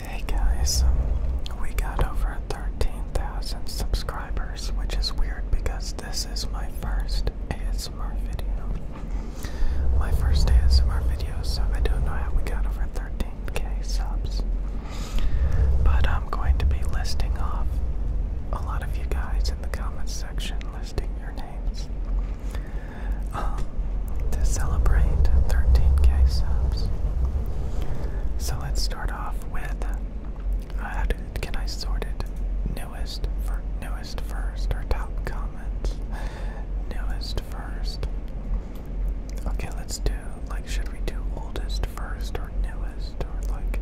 Hey guys, um, we got over 13,000 subscribers, which is weird because this is my first ASMR video. My first ASMR video, so I don't know how we got over 13k subs. But I'm going to be listing off a lot of you guys in the comments section, listing your names. Uh, to celebrate 13k subs. So let's start off with uh, how did, can I sort it? Newest for newest first or top comments? Newest first. Okay, let's do like should we do oldest first or newest or like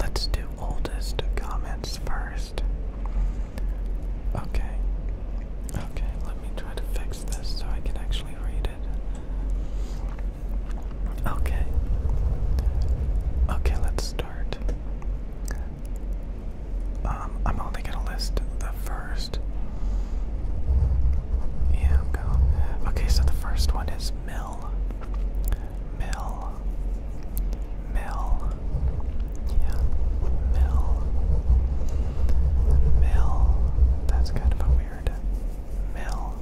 let's do oldest comments first. Okay. Okay, let me try to fix this so I can actually read it. Okay. Okay, let's start. Um, I'm only gonna list the first. Yeah, Okay, so the first one is mill. Mill. Mill yeah, mill, mill. That's kind of weird mill,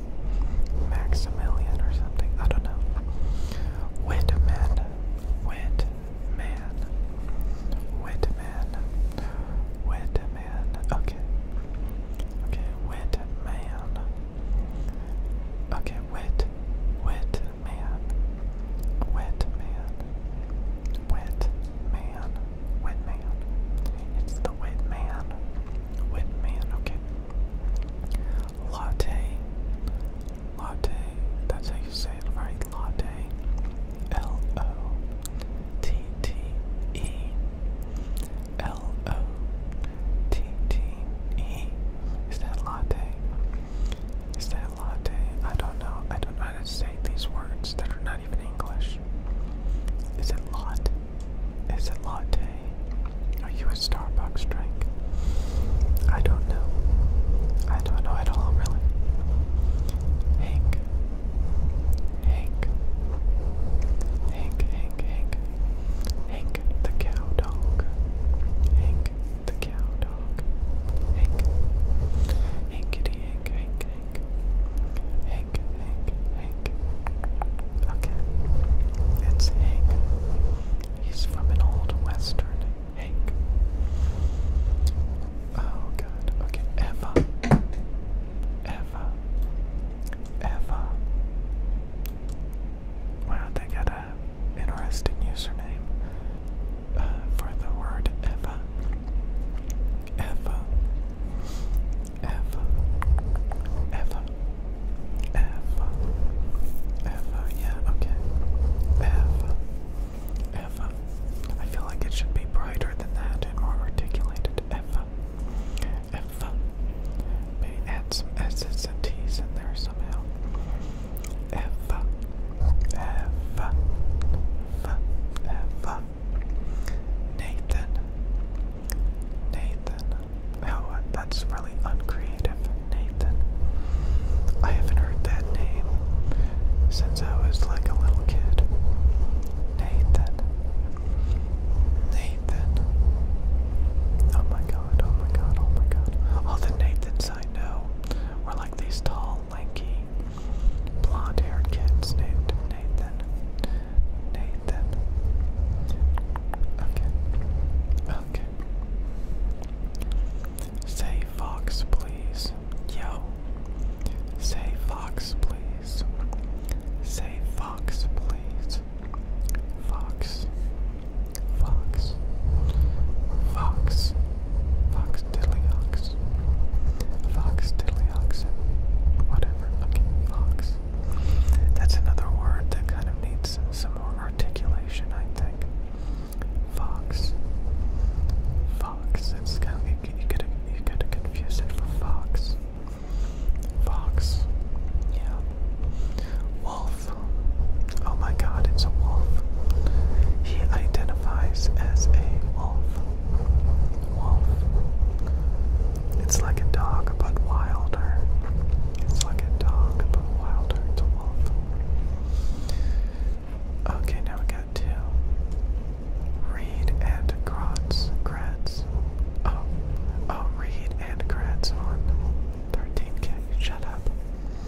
Maximilian or something. I don't know. Whitman, Whitman, Whitman, Whitman. Okay, okay, Whitman. Okay, wit, wit, man, wet man, wet man, wet man. It's the wet man, wet man. Okay. Latte, latte. That's how you say it, right? Latte. L O T T E. L O T T E. Is that latte? Is that latte? I don't know. I don't know how to say these words that are not even English. Is it lot? Is it latte? Are you a Starbucks drink? I don't know. I don't know at all, really. Hank. Hank. Hank, Hank, Hank. Hank the cow dog. Hank the cow dog. Hank. Hankity Hank, Hank, Hank. Hank, Hank, Hank. Okay. It's Hank. He's from an old western. Hank. Oh god. Okay. Eva. Eva. Eva. Wow, they got a interesting username uh, for the word ever. Ever. Ever. Ever. Ever. Ever. Yeah, okay. Ever. Ever. I feel like it should be brighter than that and more articulated. Ever. Ever. Maybe add some S's and T's in there somehow ever, ever, ever, ever. Nathan, Nathan. Oh, that's really uncreative, Nathan. I haven't heard that name since I was like a little kid. Nathan, Nathan. Oh my god, oh my god, oh my god. All the Nathans I know were like these tall lanky, blonde-haired kids named Nathan. Nathan. Okay. Okay. Say Fox, please. Yo. Say Fox, please. Say Fox, please. Fox. Fox. Fox. Fox Tiddlyox. Fox Tiddlyoxin. Whatever. Okay, Fox. That's another word that kind of needs some, more articulation, I think. Fox. Fox. It's kind of, you, you, could, you confuse it for fox. Fox. Yeah. Wolf. Oh my god, it's a wolf. He identifies as a wolf. Wolf. It's like a dog, but wilder. It's like a dog, but wilder. It's a wolf. Okay, now we got two. Reed and Kratz. Kratz. Oh, oh, Reed and Kratz on 13k. Shut up.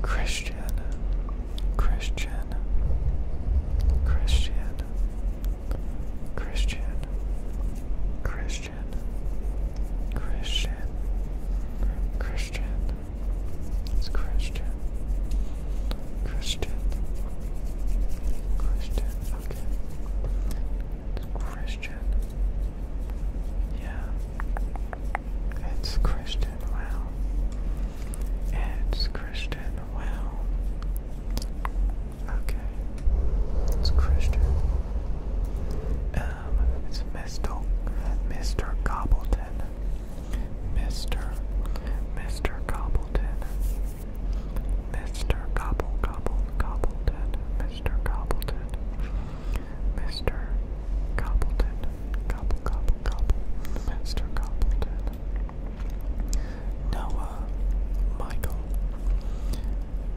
Christian, Christian, Christian, Christian, Christian, Christian, Christian, it's Christian, Christian, Christian, okay, it's Christian, yeah. It's Christian Wow. It's Christian Wow. Okay. It's Christian. Um, it's Mr. Mr. Cobbleton. Mr. Mr. Cobbleton. Mr. Gobble Gobble Cobbleton. Mr. Cobbleton. Mr. Cobbleton, Cobble, Cobble, Cobble, Master Cobbleton, Noah, Michael.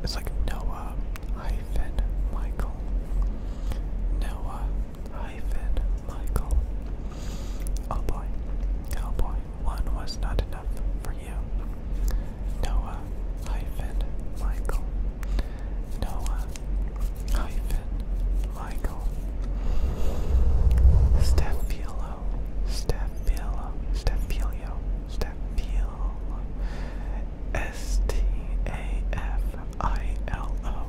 It's like Noah hyphen Michael, Noah hyphen Michael. Oh boy, oh boy, one was not enough for you. Noah hyphen Michael, Noah hyphen Michael Stefilo Stefilo Stefilio Stefilo S T A F I L O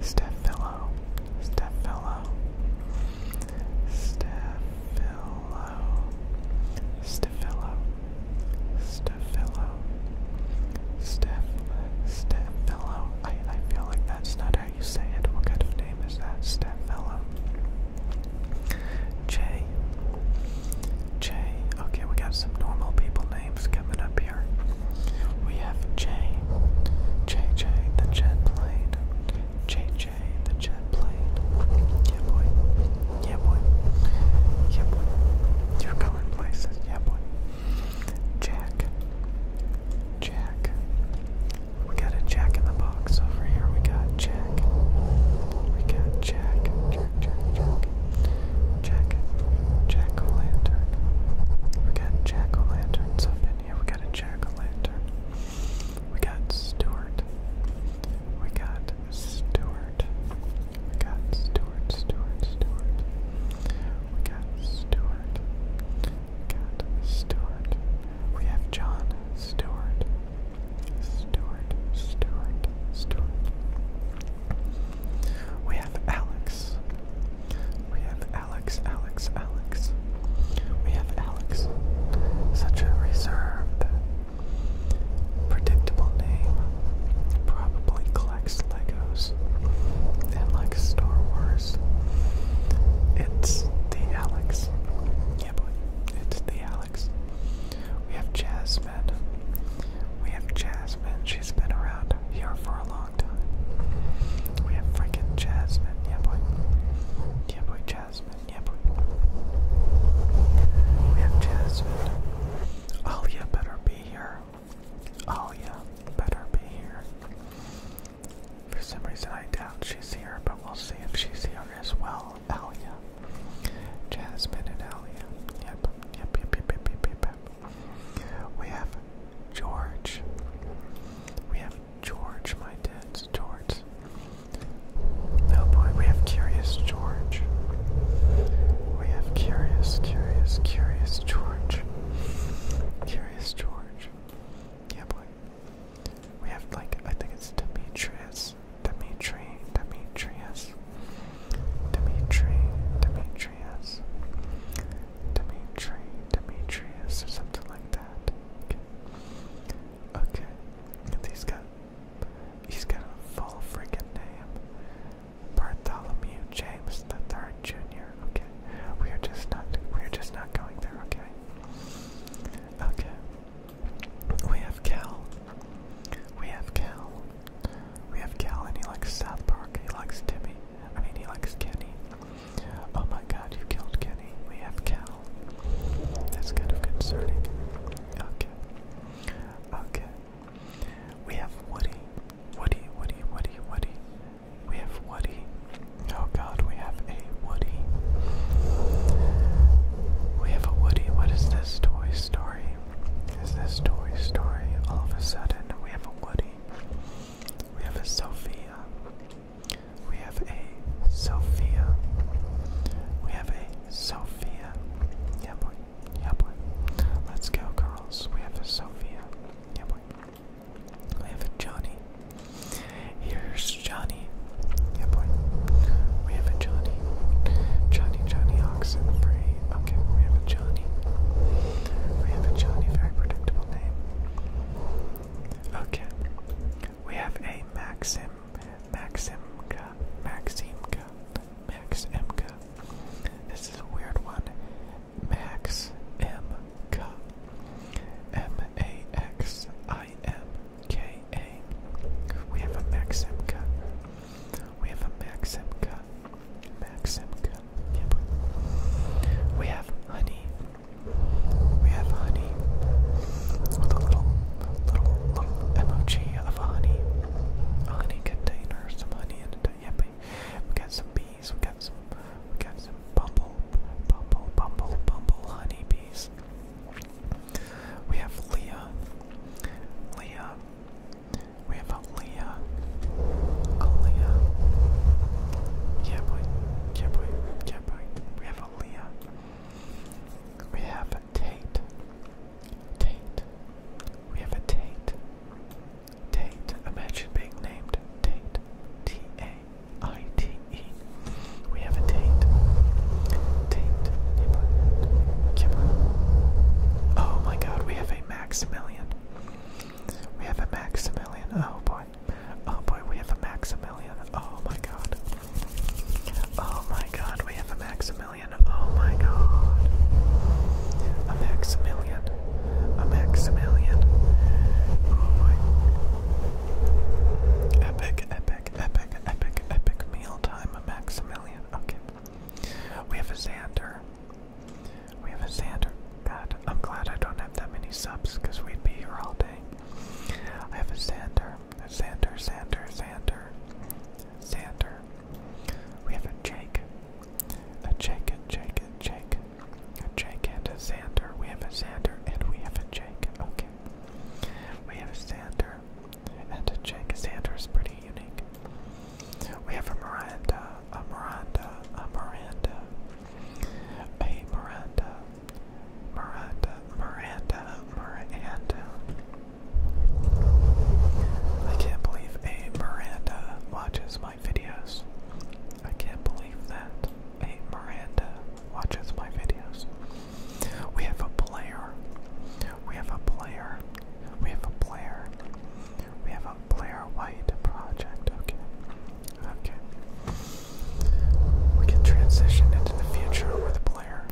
Stefilo Stefilo Stefilo Stefilo Stefilo Steph I, I feel like that's not how you say it. What kind of name is that? Stepfella. Jay. Jay. Okay, we got some normal people names coming up here. We have Jay. JJ the jet plane. JJ the jet plane. Yeah boy. Yeah boy. Yeah boy. You're places. Yeah boy. Jack. Jack. We got a jack in the box over here. We got Jack. We got Jack. Jack, Jack, Jack. Jack. Jack o' lantern. We got jack o' lanterns up in here. We got a jack o' lantern. We got Stuart. We got Stuart. We got Stuart, Stuart, Stuart. We got Stewart. Got Stewart. We have John Stewart. Stewart. Stewart. Stewart. We have Alex. We have Alex. Alex. Alex. We have Alex. Such a reserved, predictable name. Probably collects Legos and like Star Wars. It's the Alex. Yeah, boy. It's the Alex. We have Jasmine. We have Jasmine. She's been around here for a long time. We have freaking Jasmine. Yeah, boy. Yeah, boy, Jasmine. Yeah, boy. We have Jasmine. Oh, Alia better be here. Oh yeah, better be here. For some reason I doubt she's here, but we'll see if she's here as well. Alia. Jasmine and Alia. Yep, yep, yep, yep, yep, yep, yep. We have George. We have George, my dad's George. Oh boy, we have Curious George. We have Curious, Curious, Curious George. Curious George. Yeah, boy. We have, like, I think it's Demetrius. Dimitri, Demetrius. Dimitri, Demetrius. Dimitri, Demetrius, or something like that. okay. He's got, he's got a full freaking name. Bartholomew James the Third Junior. Okay, we are just not we are just not going there. Okay, okay. We have Cal. We have Cal. We have Cal, and he likes South Park. He likes Timmy. I mean, he likes Kenny. Oh my God, you killed Kenny. We have Cal. That's kind of concerning. Okay. Okay. We have Woody. Woody, Woody, Woody, Woody. We have Woody. Oh god, we have a Woody. We have a Woody. What is this Toy Story? Is this Toy Story? All of a sudden, we have a Woody. We have a Sophia. We have a Sophia. We have a Sophia. Yep, yeah, we're yeah, boy. Let's go, girls. We have a Sophia. Yeah, boy. We have a Johnny. Here's Johnny. Yeah, boy. We have a Johnny. Johnny, Johnny Oxen Free. Okay, we have a Johnny. We have a Johnny. Very predictable name. Okay. We have a Maxim. Maximka. Maximka. Max MK. This is a weird one. Max M A X I M K A. We have a Max We have a Max MK. We have honey. We have honey with a little, little, little emoji of a honey, honey container, some honey in it. Yep, we got some bees. We got some. We got some bumble, bumble, bumble, bumble bees. We have Leah. Leah. We have a Leah. A Leah. Yeah boy. Yeah We have a Leah. We have a Tate. Tate. We have a Tate. Tate. Imagine being named Tate. T A I T E. We have a Tate. Tate. Oh my god, we have a Maximilian. We have a Maximilian. Oh boy. Oh boy, we have a Maximilian. Oh my god. Oh my god, we have a Maximilian. Oh my god. A Maximilian. A Maximilian. Oh my. Epic, epic, epic, epic, epic mealtime. A Maximilian. Okay. We have a sander. We have a sander. God, I'm glad I don't have that many subs because we'd be here all day. I have a sander. A sander. Sander. Sander. Sander. We have a Jake, a Jake, a Jake, a Jake, a Jake, and a Xander. We have a Xander and we have a Jake. Okay. We have a Xander and a Jake. Xander is pretty unique. We have a Miranda, a Miranda, a Miranda, a Miranda, Miranda, Miranda, Miranda. I can't believe a Miranda watches my videos. I can't believe that a Miranda watches my videos. We have a player. We have a player. We have a player. We have a player white project. Okay. Okay. We can transition into the future with a player.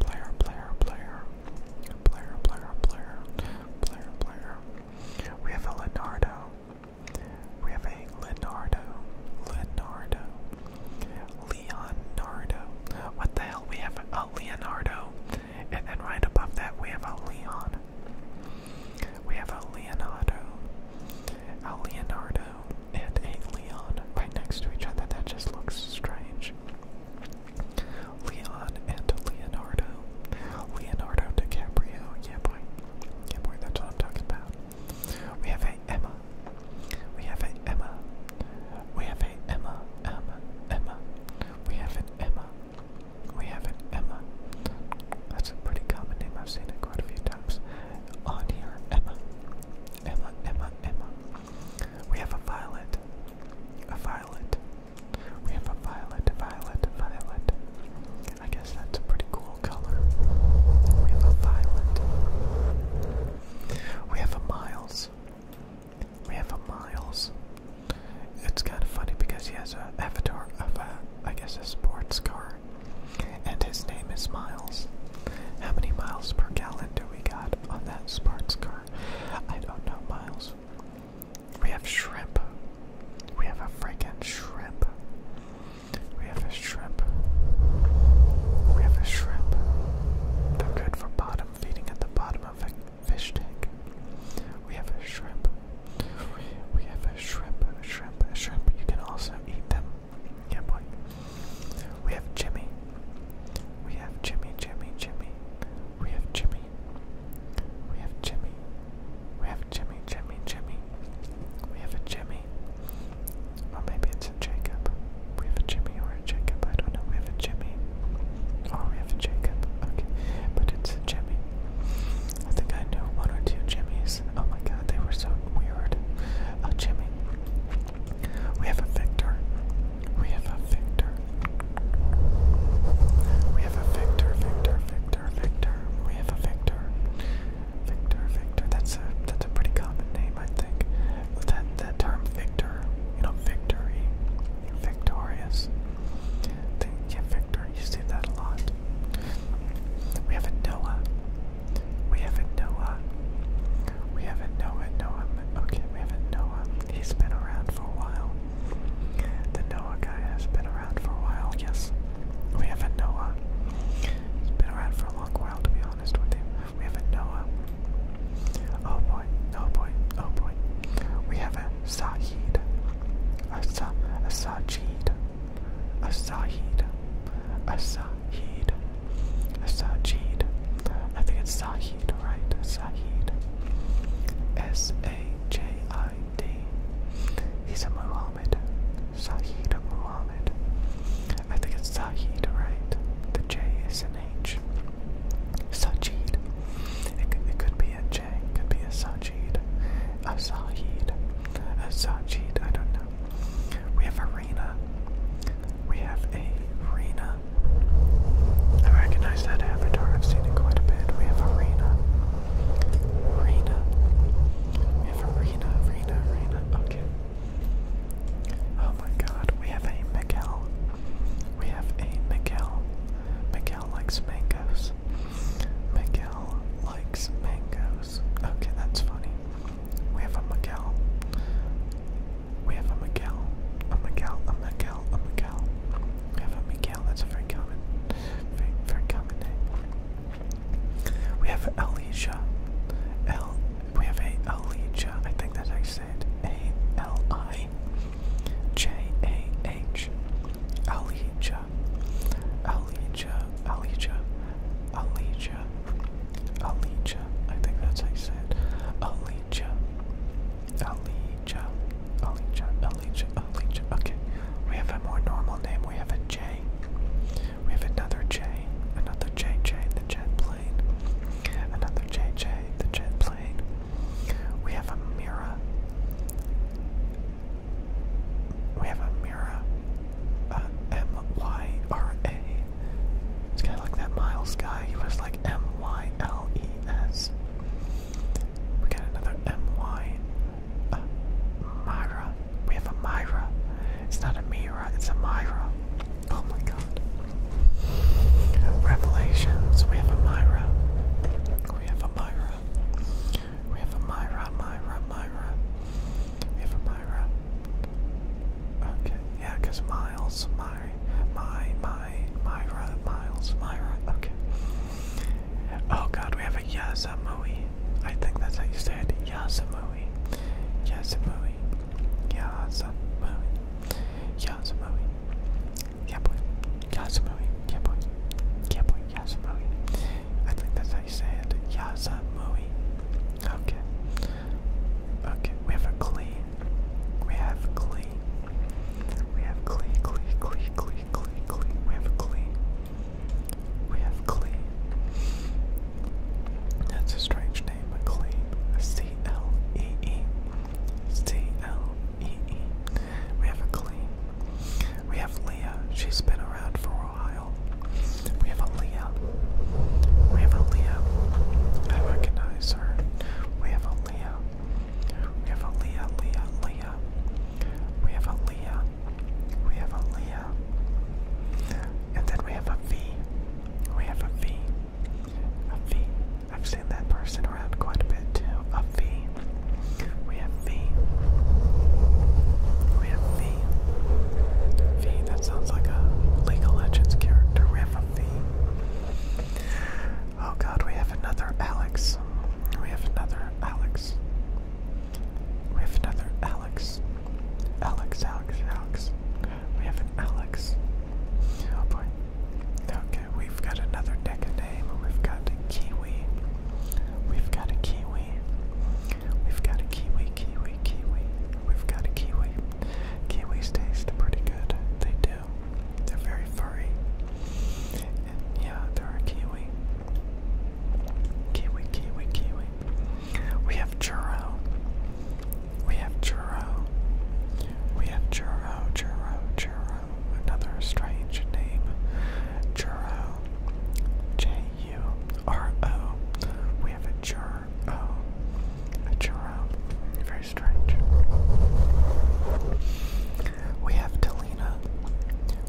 Player, player, player. Player, player, player, player, player. We have a Leonardo. We have a Leonardo. Leonardo. Leonardo. What the hell? We have a Leonardo. And then right above that, we have a Leon. We have a Leonardo. A Leonardo and a Leon right next to each other. That just looks strange. Leon and Leonardo. Leonardo DiCaprio. Yeah, boy. Yeah, boy, that's what I'm talking about. We have a Emma. We have a Emma. We have a Emma. Emma. Emma. We have an Emma. We have an Emma. That's a pretty common name. I've seen it quite a few times. On here, Emma. Emma, Emma, Emma. We have a Violet. A Violet. We have a violet, violet, violet. I guess that's a pretty cool color. We have a violet. We have a Miles. We have a Miles. It's kind of funny because he has a avatar of a, I guess, a sports car. And his name is Miles. How many miles per gallon do we got on that sports car? I don't know, Miles. We have shrimp. We have a freaking shrimp. We have a shrimp. We have a shrimp. They're good for bottom feeding at the bottom of a fish tank. We have a shrimp. We have a shrimp, a shrimp, a shrimp. You can also eat them. Yeah, We have Jimmy. We have Jimmy, Jimmy, Jimmy. We have Jimmy. We have Jimmy. We have Jimmy, Jimmy, Jimmy. We have a Jimmy. Or maybe it's a Jacob. We have a Jimmy or a Jacob. I don't know. We have a Jimmy. Or oh, we have a Jacob. Okay. But it's a Jimmy. I think I knew one or two Jimmys. Oh my god, they were so weird. A Jimmy. We have a Victor. We have a victor. We have a victor, victor, victor, We have a victor. Victor, victor. That's a that's a pretty common name, I think. That that term victor, you know, victory, victorious. Think, yeah, victor. You see that a lot. We have a Noah. We have a Noah. We have a Noah. Noah. Okay, we have a Noah. He's been around for a while. The Noah guy has been around for a while, yes. We have a Noah. He's been around for a long while, to be honest with you. We have a Noah. Oh boy, oh boy, oh boy. We have a Sahid. A, sa a Sajid. A Sahid. A Sahid. A Sajid. I think it's Sahid. Sahid, Sahid. S A J I D. He's a Muhammad. Sahid Muhammad. I think it's Sahid, right? The J is an H. Sajid. It, it could be a J, could be a Sajid. A Sahid. A Sajid, I don't know. We have a Rena. We have a Rena. I recognize that avatar, I've seen it quite a bit. We have Arena. Arena. We have Arena, Arena, Arena. Okay. Oh my god, we have a Miguel. We have a Miguel. Miguel likes mangoes. Miguel likes mangoes. Okay, that's funny. We have a Miguel. We have a Miguel, a Miguel, a Miguel, a Miguel. We have a Miguel, that's a very common, very, very common name. We have Alicia, El, we have a Alicia, I think that I said A-L-I-J-A-H, Alicia, Alicia, Alicia, Alicia, Alicia, I think that's how you say it, Alicia, Alicia, Alicia, Alicia, Alicia. Okay, we have a more normal name. We have a J. We have another J, another JJ, the jet plane. Another J J. the jet plane. We have a Mira. We have a Mira. Uh, M Y R A. It's kind of like that Miles guy. He was like M Y L E S. We got another M Y. Uh, Myra. We have a Myra. It's not a Mira. It's a Myra. Oh my God. Revelations. We have a Myra. We have a Myra. We have a Myra, Myra, Myra. We have a Myra. Okay, yeah, because Miles, my, my, my, my, Myra, Miles, Myra, okay. Oh god, we have a Yasamui. I think that's how you say it. Yasamui. Yasamui. Yasamui. Yasamui. Yeah Yasamui. Yasamui. I think that's how you say Yasamui. Okay. Okay, we have a clean we have Glee. We have Glee, Glee, Glee, Glee, Glee, Glee. We have Glee. We have Glee. That's a strange name, but Glee. C L E E. C L E E. We have a Glee. We have Leah. She's been around for a while. We have a Leah. We have a Leah. I recognize her. We have a Leah. We have a Leah, Leah, Leah. We have a Leah. We have a Leah. And then we have a V. We have a V. A V. I've seen that person around quite a bit too. A V. We have V. We have V. V, that sounds like a League of Legends character. We have a V. Oh god, we have another Alex. We have another Alex. We have another Alex. Alex, Alex, Alex. We have an Alex. Oh boy. Okay, we've got another deck of name. We've got a Kiwi. We've got a Kiwi. We've got a Kiwi, Kiwi, Kiwi. We've got a Kiwi. Kiwis taste pretty good. They do. They're very furry. And yeah, they're a kiwi. Kiwi, kiwi, kiwi. We have churro. We have churro. We have churro, churro, churro. Another strange name. Churro. J U R O. We have a churro or oh, a churro. Very strange. We have Delina.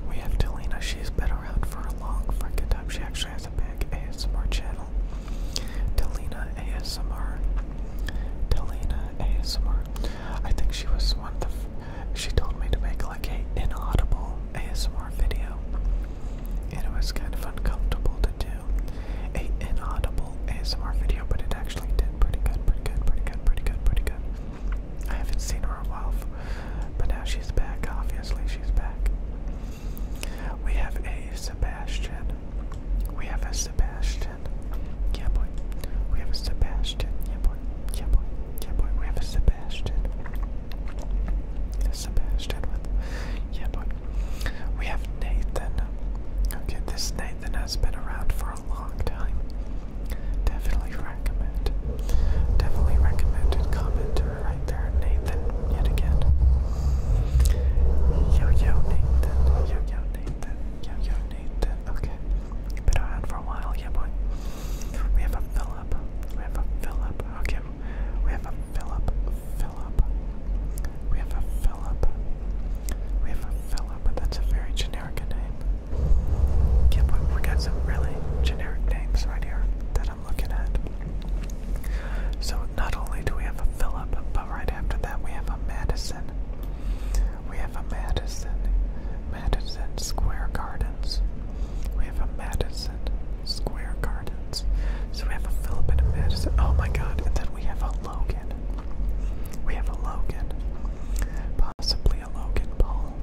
We have Delina. She's been around for a long freaking time. She actually has a big ASMR channel. Delina ASMR. Delina ASMR. I think she was one of the. She told me to make like a inaudible ASMR video, and it was kind of uncomfortable to do a inaudible ASMR video, but it actually did pretty good, pretty good, pretty good, pretty good, pretty good. I haven't seen her in a while, but now she's back. Obviously, she's back. We have a Sebastian. We have a Sebastian. Yeah, boy. We have a Sebastian. Yeah, boy. Yeah, boy. Yeah, boy. We have a Sebastian. A Sebastian with. Yeah, boy. We have Nathan. Okay, this Nathan has been around for a long time. Definitely recommend. Definitely recommended commenter right there, Nathan, yet again. Yo yo Nathan. Yo yo Nathan. Yo yo Nathan. Okay. Been around for a while, yeah boy. We have a Philip. We have a Philip. Okay. We have a Philip. Philip. We have a Philip. We have a fella, but that's a very generic name. Can't believe we got some really generic names right here that I'm looking at. So not only do we have a Philip, but right after that we have a Madison. We have a Madison, Madison Square Gardens. We have a Madison Square Gardens. So we have a Philip and a Madison. Oh my God! And then we have a Logan. We have a Logan. Possibly a Logan Paul.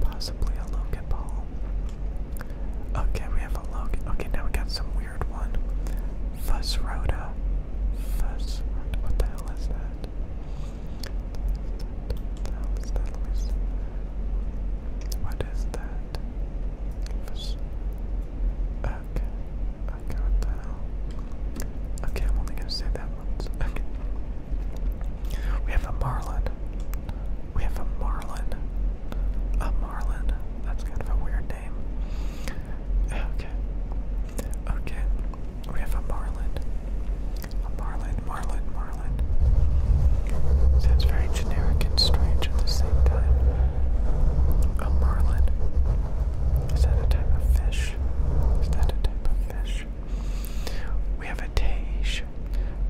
Possibly a Logan Paul. Okay, we have a Logan. Okay, now we got some weird one. Fuss Roda. Fuss. What the hell is that? What that? What is that? back. Okay, what the hell? Okay, I'm only gonna say that once. Okay. We have a marlin. We have a marlin. A marlin. That's kind of a weird name. Okay. Okay. We have a marlin. A marlin, marlin, marlin. Sounds very generic and strange at the same time. A marlin. Is that a type of fish? Is that a type of fish? We have a tage.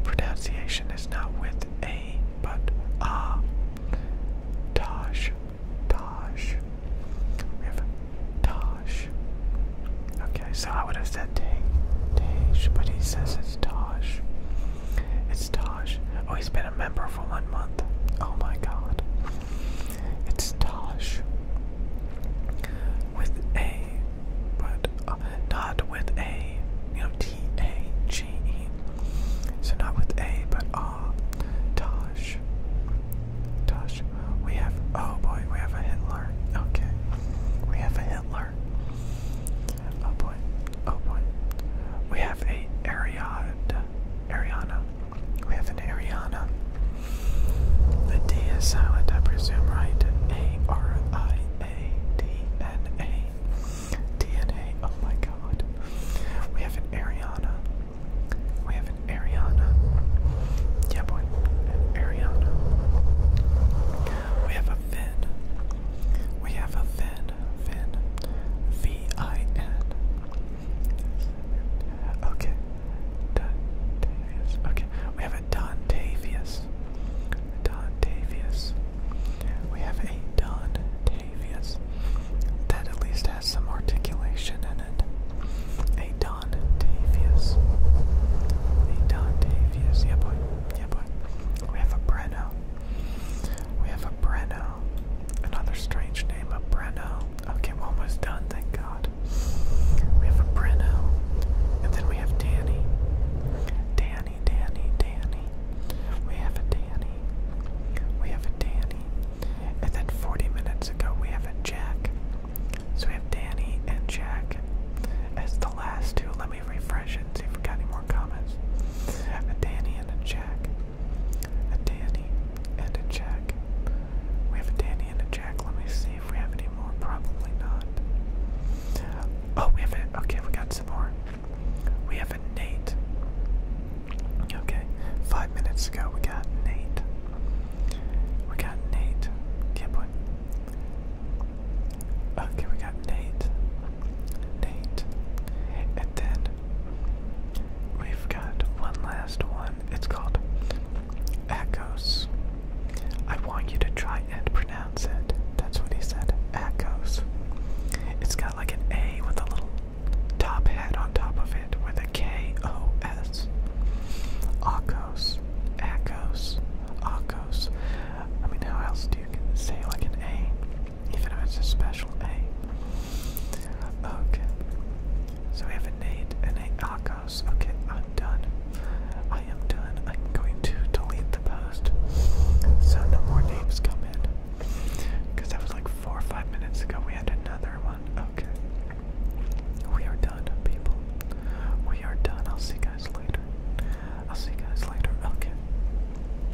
Pronunciation is not with a, but ah. Taj. Taj. We have taj. Okay, so I would have said Taj, but he says it's taj. It's Taj. Oh, he's been a member for one month. Oh my god. It's Taj. With A, but uh, not with A. You know, T A G E. So not with A, but ah. Uh, Taj. Taj. We have. Oh boy, we have a Hitler. Okay. We have a Hitler. Oh boy. Oh boy. We have a Ariad. Ariana. We have an Ariana. The D is silent, I presume, right? A R I A D N A. Oh my god. We have an Ariana. We have an Ariana. Yeah, boy. Ariana. We have a Finn. We have a Finn. Vin, Vin, V-I-N. Okay, Dontavius. Okay, we have a Don Davius. We have a Dontavius. That at least has some articulation in it. A Dontavius. A Dontavius. Yeah boy. Yeah boy. We have a Breno. We have a Breno. Another strange name, of Breno. Okay, we're almost done, thank God. We have a Breno. And then we have Danny. Danny, Danny, Danny. We have a Danny. We have a Danny. And then 40 minutes ago, we have a Jack. So we have Danny and Jack as the last two. Let me refresh and see if we got any more comments. A Danny and a Jack a Danny, and a Jack. We have a Danny and a Jack. Let me see if we have any more. Probably not. Oh, we have it. Okay, we got some more. We have a Nate. Okay, five minutes ago we got Nate. We got Nate. Yeah, boy. Okay, we got Nate. Nate. And then We've got one last one. It's called Akos. I want you to try and pronounce it. That's what he said. Akos. It's got like an A with a little top head on top of it with a K O S. Akos. Akos. Akos. I mean, how else do you say like an A? Even if it's a special A. Okay. So we have an eight and eight Akos. Okay, I'm done. I am done. I'm going to delete the post. So no more names come in. Because that was like four or five minutes ago. We had another one. Okay. We are done, people. We are done. I'll see you guys later. I'll see guys later. Okay.